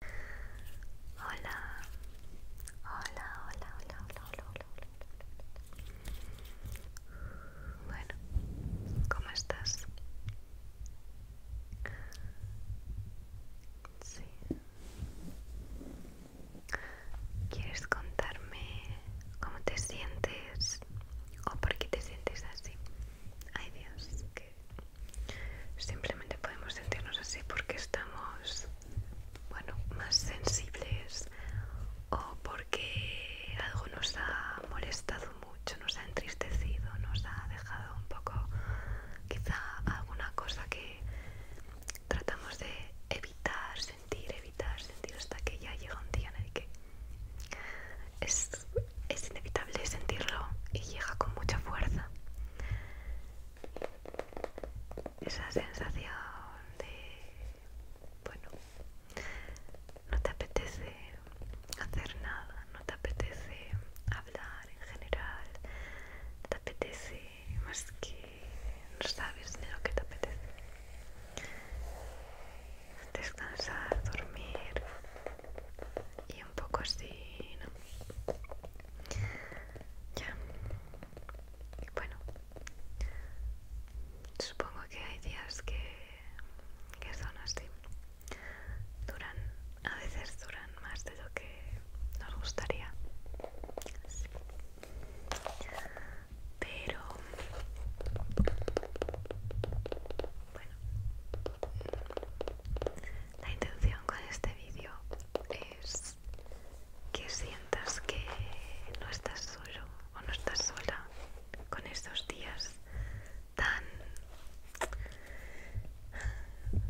Hola. Hola, hola, hola, hola, hola, hola, hola. Bueno, ¿cómo estás? Sí. ¿Quieres contarme cómo te sientes o por qué te sientes así? Ay Dios, que Simplemente podemos sentirnos así porque estamos, bueno, más sensibles o porque algo nos ha molestado mucho, nos ha entristecido, nos ha dejado un poco, quizá alguna cosa que tratamos de evitar, sentir, evitar, sentir hasta que ya llega un día en el que es, es inevitable sentirlo y llega con mucha fuerza esa sensación de, bueno, no te apetece hacer nada, no te apetece hablar en general, te apetece más que no sabes de lo que te apetece. Descansar, dormir y un poco así, ¿no? Ya. Bueno. Supongo que hay días que, que son así. Duran, a veces duran más de lo que nos gustaría. Pero... Bueno. La intención con este vídeo que sientas que no estás solo o no estás sola con estos días tan...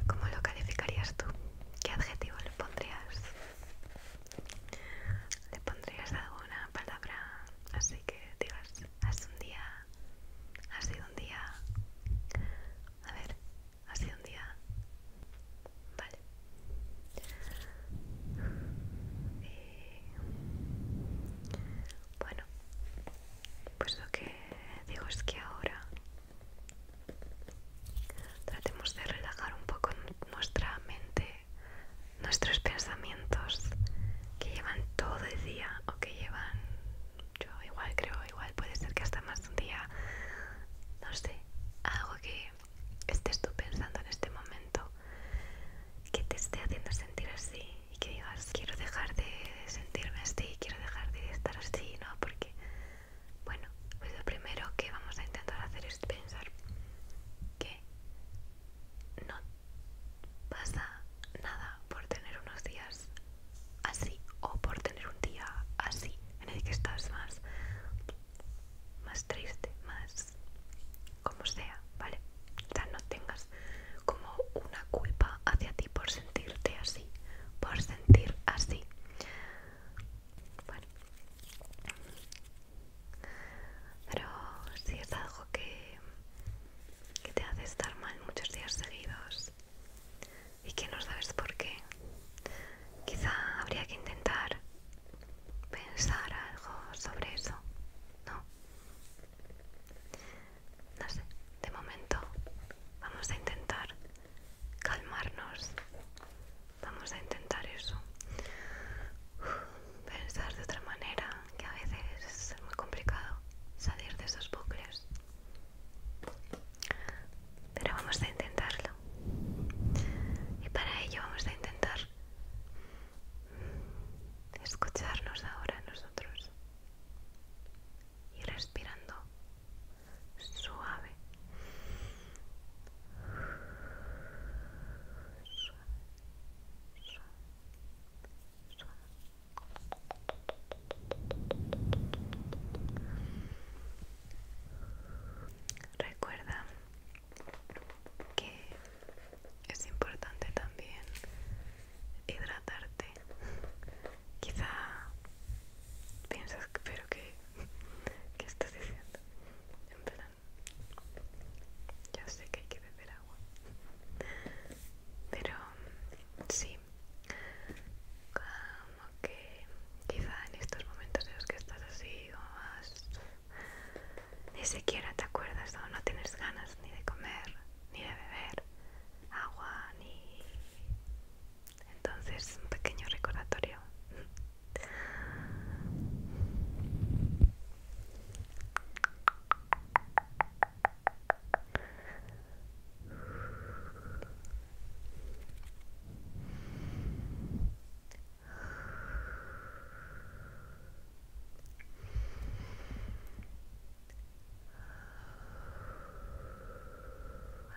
¿Cómo lo calificarías tú? ¿Qué adjetivo le pondrías? ¿Le pondrías alguna palabra así que digas, has un día, ha sido un día... A ver, hace un día. Vale. Eh, bueno, pues lo que digo es que ahora tratemos de relajar un poco nuestra mente, nuestros pensamientos que llevan todo el día o que llevan yo igual creo, igual puede ser que hasta más un día, no sé, algo que estés tú pensando en este momento, que te esté haciendo sentir así y que digas, quiero dejar de sentirme así, quiero dejar de estar así, ¿no? Porque, bueno, pues lo primero que vamos a intentar hacer es pensar que no pasa nada por tener unos días así o por tener un día así en el que estás más más triste, más como sea, ¿vale? O no tengas como una culpa hacia ti por sentirte así, por sentir así. Bueno. Pero si es algo que, que te hace estar mal muchos días seguidos, y que no sabes por qué. Quizá habría que intentar pensar algo sobre eso, ¿no? No sé, de momento vamos a intentar calmarnos, vamos a intentar eso, pensar de otra manera, que a veces es muy complicado salir de esos bucles. Pero vamos a intentarlo. Y para ello vamos a intentar escucharnos ahora nosotros. Y respirando suave. Recuerda que es importante también hidratarte. Quizá piensas, pero que ¿qué estás diciendo? En plan, yo sé que hay que beber agua, pero sí, ah, que quizá en estos momentos de los que estás así o más ni siquiera te acuerdas o no tienes ganas ni de comer ni de beber agua ni entonces un pequeño recordatorio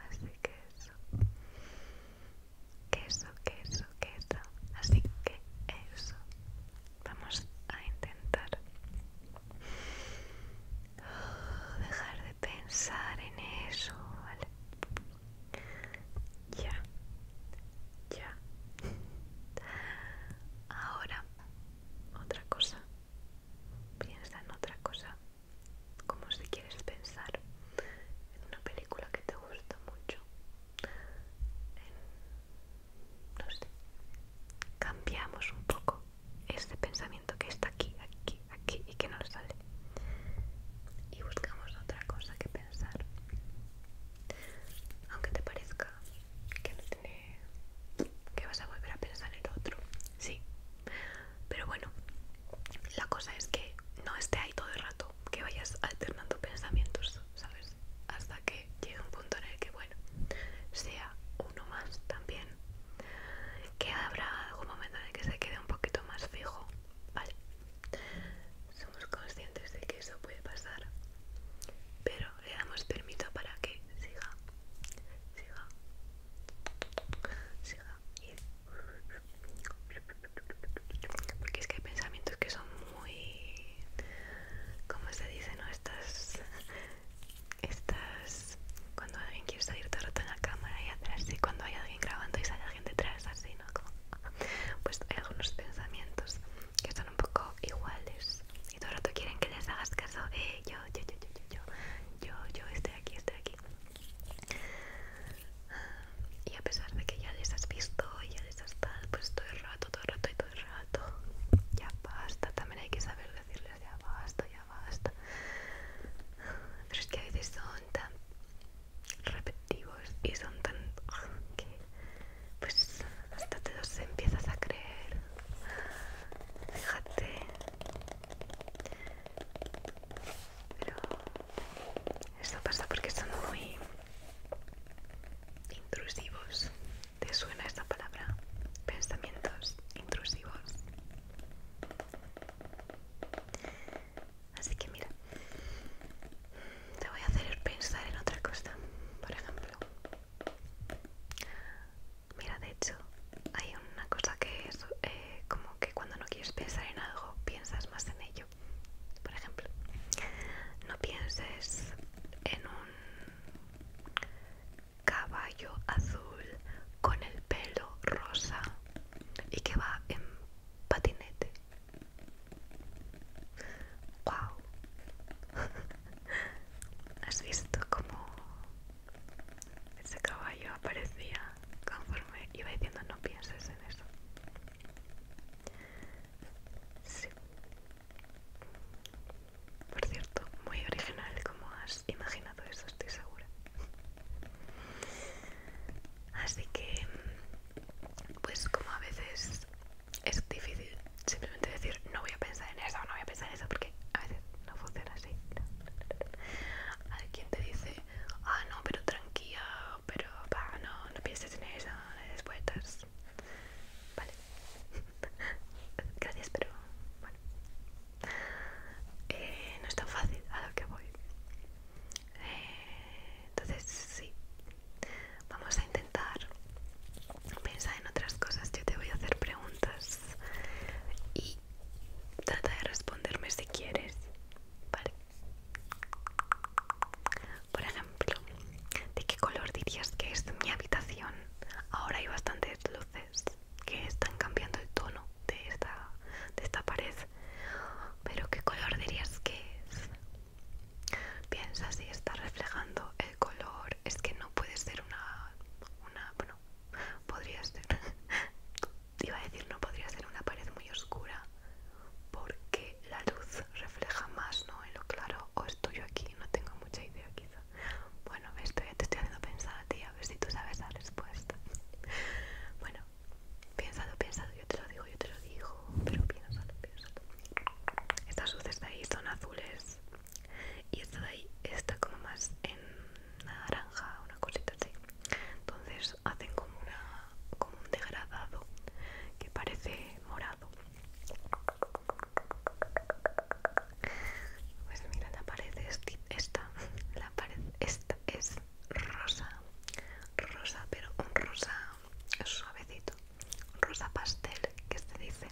Así que eso. Queso, queso, queso. Así que eso. Vamos a intentar dejar de pensar en eso, ¿vale? Ya, ya. Ahora, otra cosa. Piensa en otra cosa. Como si quieres pensar en una película que te gusta mucho. no sé. Cambiamos un poco este pensamiento que está aquí, aquí, aquí y que no sale. Y buscamos otra cosa que pensar. Aunque te parezca que no tiene... que vas a volver a pensar en otro. Sí. Pero bueno, la cosa es que no esté ahí todo el rato, que vayas alternando pensamientos, ¿sabes? Hasta que llegue un punto en el que, bueno, sea uno más también que habrá algún momento en el que se quede un poquito más fijo, ¿vale? Somos conscientes de que eso puede pasar, pero le damos permiso para que siga, siga, siga. Porque es que hay pensamientos que son muy... ¿Cómo se dice? No? Estas... Estas cuando alguien quiere salir todo el rato en la cámara y atrás y cuando hay alguien grabando y sale alguien detrás así, ¿no? pues hay algunos pensamientos que son un poco iguales y todo el rato quieren que les hagas caso, eh, yo, yo, yo, yo, yo, yo, yo, yo estoy aquí, estoy aquí. Y a pesar de que ya les has visto y ya les has tal, pues todo el rato, todo el rato y todo el rato, ya basta, también hay que saber decirles ya basta, ya basta. Pero es que a veces son tan repetitivos y son tan que pues hasta te los empiezas a creer fíjate pero esto pasa porque son muy intrusivos te suena esta palabra pensamientos intrusivos Así que mira, te voy a hacer pensar en otra cosa. Por ejemplo, mira, de hecho, hay una cosa que es eh, como que cuando no quieres pensar en algo, piensas más en ello. Por ejemplo, no pienses en un caballo azul con el pelo rosa y que va en patinete. ¡Wow! ¿Has visto cómo ese caballo aparecía conforme iba diciendo no pienses en eso? Sí. Por cierto, muy original como has imaginado eso estoy segura. Así que, pues como a veces es difícil simplemente decir no voy a pensar en eso, no voy a pensar en eso, porque a veces no funciona así. Alguien te dice, ah, no, pero tranquila, pero no, no pienses en eso, después Vale. Gracias, pero bueno. Eh, no es tan fácil a lo que voy entonces sí, vamos a intentar pensar en otras cosas. Yo te voy a hacer preguntas y trata de responderme si quieres. Vale. Por ejemplo, ¿de qué color dirías que es mi habitación? Ahora hay bastantes luces que están cambiando el tono de esta, esta pared. Pero ¿qué color dirías que es? Piensa si está reflejando el color. Es que no puede ser una... una bueno, podría ser... Iba a decir, no podría ser una pared muy oscura porque la luz refleja más, ¿no? En lo claro, o estoy yo aquí, no tengo mucha idea quizá. Bueno, esto ya te estoy haciendo pensar a ti, a ver si tú sabes la respuesta. Bueno, Piénsalo, piénsalo, Yo te lo digo, yo te lo digo. Pero piénsalo, piénsalo. Estas luces de ahí son azules. Y esta de ahí está como más en naranja, una cosita así. Entonces hacen como, una, como un degradado que parece morado. Pues mira, la pared es esta, la pared esta es rosa, rosa, pero un rosa suavecito, rosa pastel, que se dice,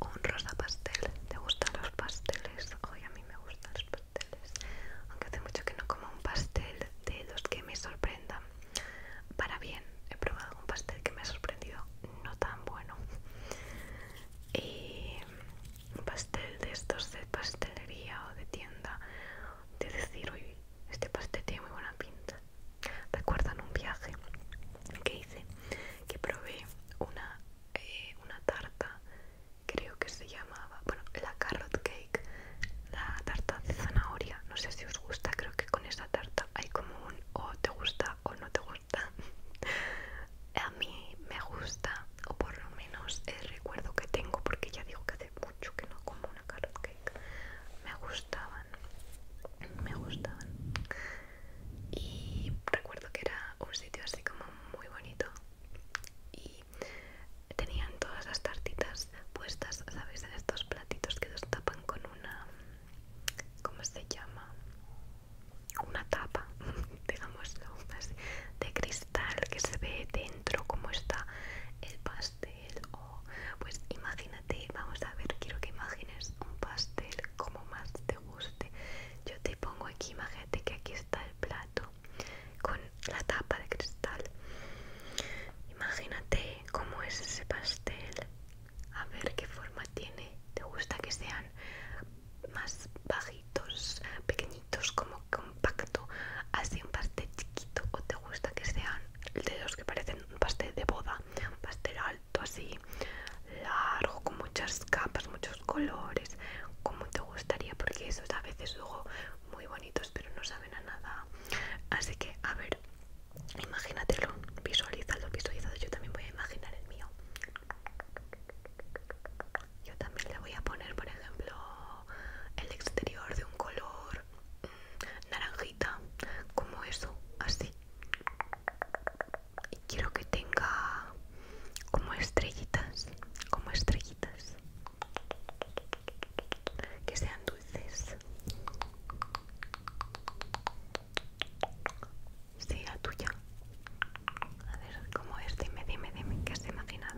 un rosa pastel. ¿Te gustan los pasteles? Hoy a mí me gustan los pasteles, aunque hace mucho que no como un pastel de los que me sorprendan. Para bien, he probado un pastel que me ha sorprendido, no tan bueno. Y un pastel de estos de pastelería o de tienda de decir, hoy este pastel tiene muy buena pinta. Recuerdan un viaje que hice, que probé una, eh, una tarta, creo que se llamaba, bueno, la carrot cake, la tarta de zanahoria. No sé si os gusta, creo que con esa tarta hay como un o te gusta o no te gusta. A mí me gusta, o por lo menos el eh, recuerdo que tengo, porque ya digo que mucho que no como una carrot cake. Me gustaban, me gustaban. Y recuerdo que era un sitio así como muy bonito y tenían todas las tartitas puestas, ¿sabéis? En estos platitos que los tapan con una. ¿Cómo se llama? Una tapa, digamos así, de cristal que se ve dentro cómo está el pastel o pues imagínate vamos a ver quiero que imagines un pastel como más te guste yo te pongo aquí imagínate que aquí está el plato con la tapa de cristal imagínate cómo es ese pastel a ver qué forma tiene te gusta que sean más bajitos pequeños como compacto así un pastel chiquito o te gusta que sean de los que parecen un pastel de boda un pastel alto así largo con muchas capas muchos colores como te gustaría porque esos a veces luego muy bonitos pero no saben a nada así que a ver imagínatelo visualízalo visualizado yo también voy a imaginar el mío yo también le voy a poner por ejemplo el exterior de un color mm, naranjita como eso así y quiero que tenga como estrellitas como estrellitas que sean dulces Sí, la tuya. A ver, ¿cómo es? Este, dime, dime, dime, ¿qué has imaginado?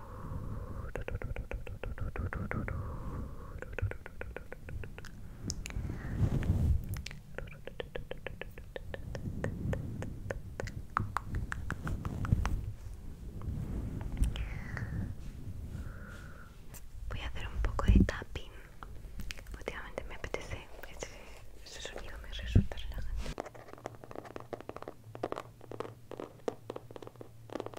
Voy a hacer un poco de tapping. Últimamente me apetece. Ese, ese sonido me resulta relajante.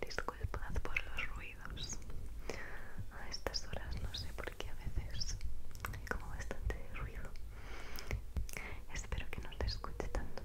Disculpad por los ruidos. A estas horas no sé por qué a veces hay como bastante ruido. Espero que no te escuche tanto.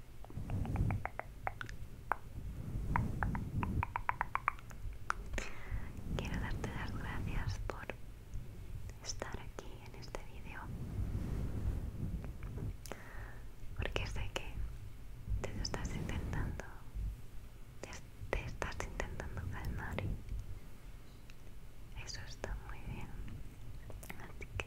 Quiero darte las gracias por estar aquí en este vídeo porque sé que te estás intentando te estás intentando calmar y eso está muy bien así que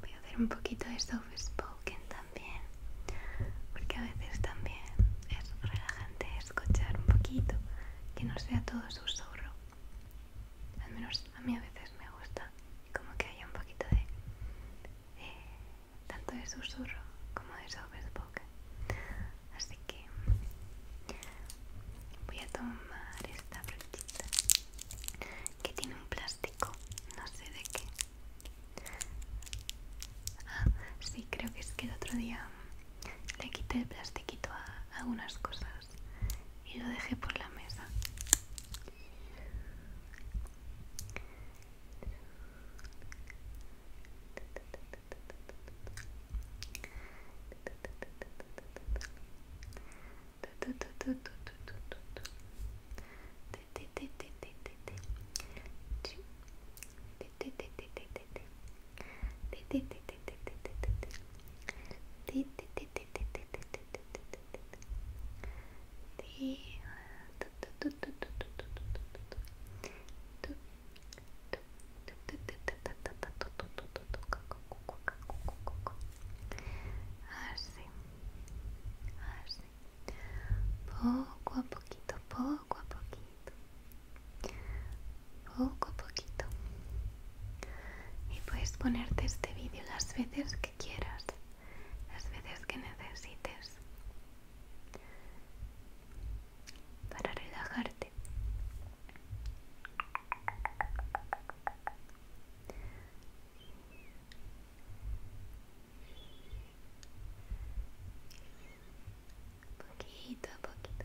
Voy a hacer un poquito de soft spoken también, porque a veces también es relajante escuchar un poquito, que no sea todo susurro al menos a mí a veces me gusta como que haya un poquito de tanto de susurro como de sobreboca así que voy a tomar esta brochita que tiene un plástico no sé de qué ah sí creo que es que el otro día le quité el plastiquito a algunas cosas y lo dejé por la mesa. Así, así, poco a poquito, poco a poquito, poco a poquito, y puedes ponerte este vídeo las veces que quieras, las veces que necesites para relajarte. Poquito a poquito,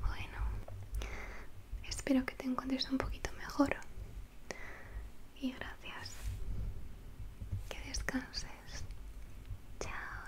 Bueno, espero que te encuentres un poquito mejor. Y gracias. Que descanses. Chao,